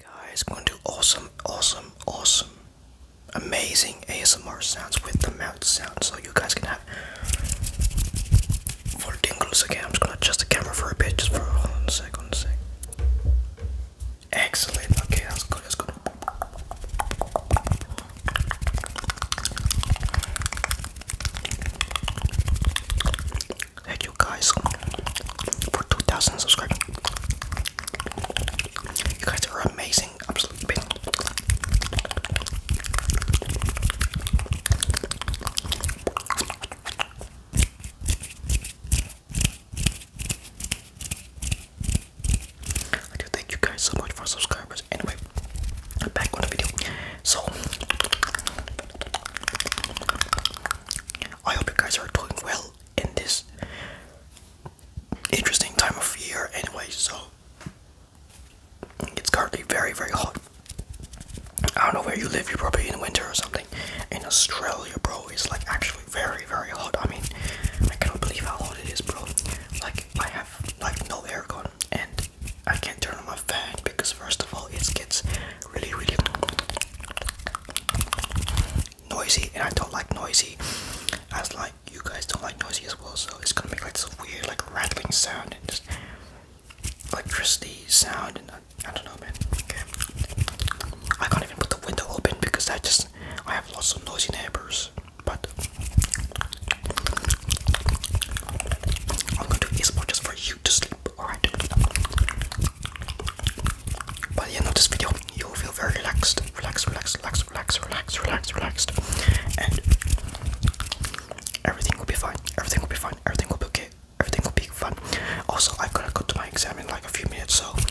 Guys, gonna do awesome, awesome, awesome, amazing ASMR sounds with the mouth sound so you guys can have for tingles again. I'm just gonna adjust the camera for a bit just for a second. Sec. Excellent. Okay, that's good. That's good. Thank you guys for 2,000 subscribers. You guys are amazing. Absolutely I do thank you guys so much for subscribers. Anyway, back on the video. So, I hope you guys are doing well in this interesting time of year. Anyway, so it's currently very, very hot. I don't know where you live, you're probably in winter or something. In Australia, bro, it's like actually very, very hot. I mean, I cannot believe how hot it is, bro. Like, I have like no aircon and I can't turn on my fan because, first of all, it gets really, really noisy and I don't like noisy. As like, you guys don't like noisy as well, so it's gonna make like this weird, like rattling sound and just electricity sound and I don't know, man. I can't even put the window open because I just I have lots of noisy neighbors. But I'm gonna do this more just for you to sleep. Alright. By the end of this video, you'll feel very relaxed, relaxed, relaxed, relaxed, relaxed, relaxed, relaxed, relaxed, and everything will be fine. Everything will be fine. Everything will be okay everything will be fun. Also, I've got to go to my exam in like a few minutes, so wish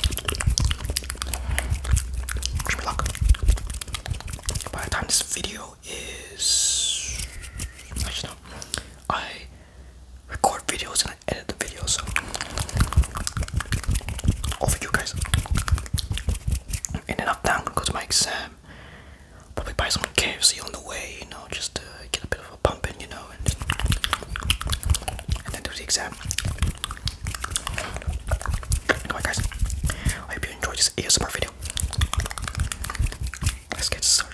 me luck. By the time this video is, I know I record videos and I edit the videos, so all for you guys. And then up now gonna go to my exam. Probably buy some KFC on the way, you know, just to get a bit of pumping, you know, and, then do the exam. Alright, guys, I hope you enjoyed this ASMR video. Let's get started.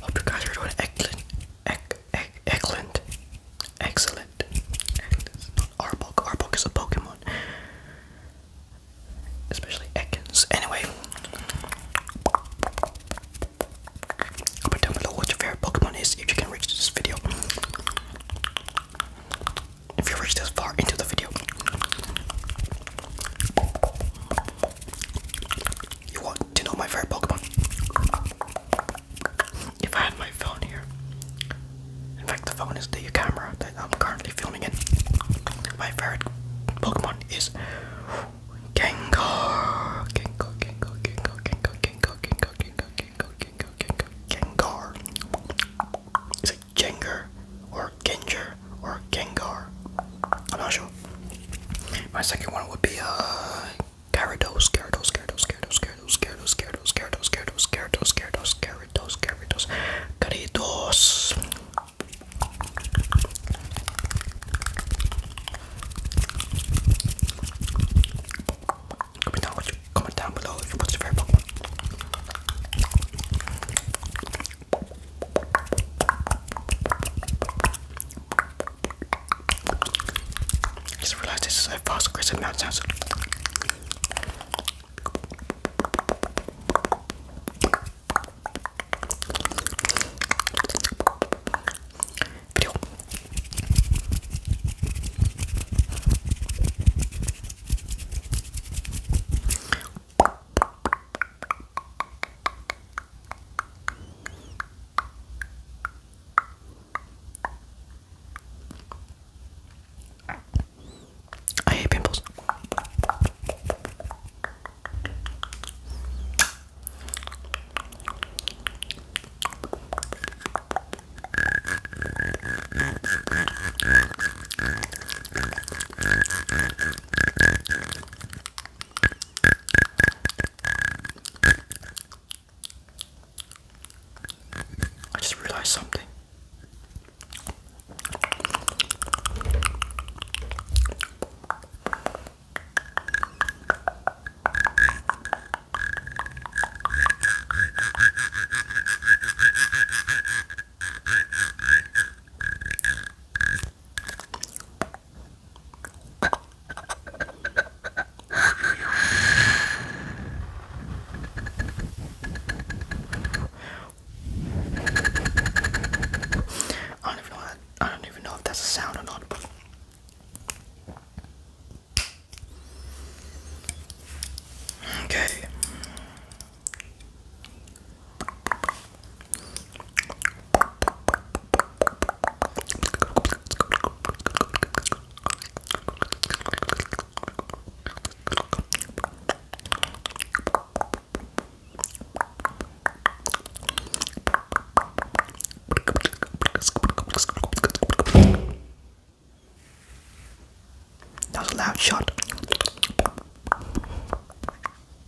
Hope you guys are doing excellent, ec ec excellent, excellent. Not Arbok. Arbok is a Pokemon, especially Ekans. Anyway, but down below what your favorite Pokemon is if you can reach this video. If you reach this far into the video, you want to know my favorite Pokemon? If I had my phone here, in fact, the phone is the camera that I'm currently filming in. My favorite Pokemon is Gengar. Gengar, Gengar, Gengar, Gengar, Gengar, Gengar, Gengar, Gengar, Gengar, Gengar, Gengar. Is like Jengar or Gengar or Gengar. I'm not sure. My second one would be uh Gyarados, Gyarados, Gyarados, Gyarados, Gyarados, Gyarados, Gyarados, Gyarados, Gyarados, Gyarados, Gyarados, Gyarados, Gyarados, Gyarados. Comment down, what you, comment down below if you what's your favorite Pokemon. I just realized this is a fast aggressive mouth sounds. Video. I hate pimples. I just realized something. I don't even know. That, I don't even know if that's a sound or not. But okay. That was a loud shot.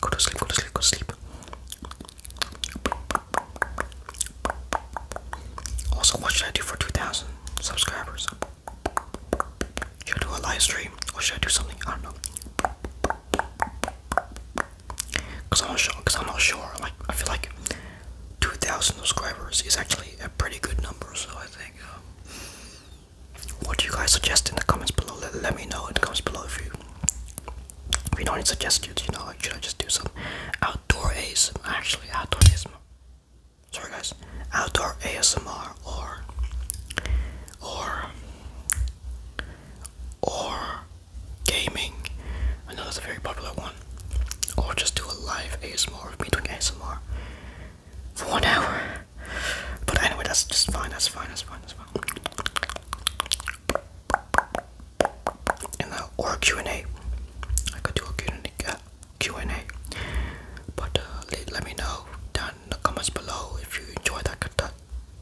Go to sleep, go to sleep, go to sleep. Also, what should I do for 2,000 subscribers? Should I do a live stream or should I do something? I don't know. Cause I'm not sure. Cause I'm not sure. Like I feel like 2,000 subscribers is actually a pretty good number. So I think. Um, what do you guys suggest in the comments below? Let, me know in the comments below if you if you know any suggestions, you know, like should I just do some outdoor ASMR? Actually, outdoor ASMR. Sorry guys, outdoor ASMR or or or gaming. I know that's a very popular one. Or just do a live ASMR of me doing ASMR for one hour. But anyway, that's just fine. That's fine. That's fine. That's fine and or Q and A. I could do a Q and A, Q and A. But uh, let, me know down in the comments below if you enjoy that,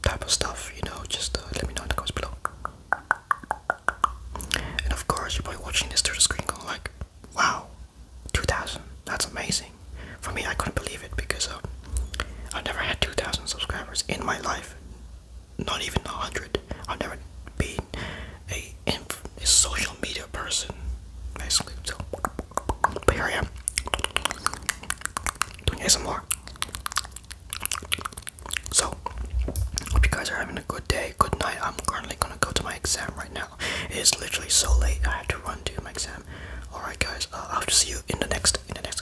type of stuff. You know, just uh, let me know in the comments below. And of course, you're probably watching this through the screen, going like, "Wow, 2,000! That's amazing." For me, I couldn't believe it because. Uh, I've never had 2,000 subscribers in my life. Not even 100. I've never been a, inf a social media person. Basically, so. But here I am. Doing ASMR. So, hope you guys are having a good day, good night. I'm currently gonna go to my exam right now. It is literally so late. I have to run to my exam. All right, guys. Uh, I'll see you in the next in the next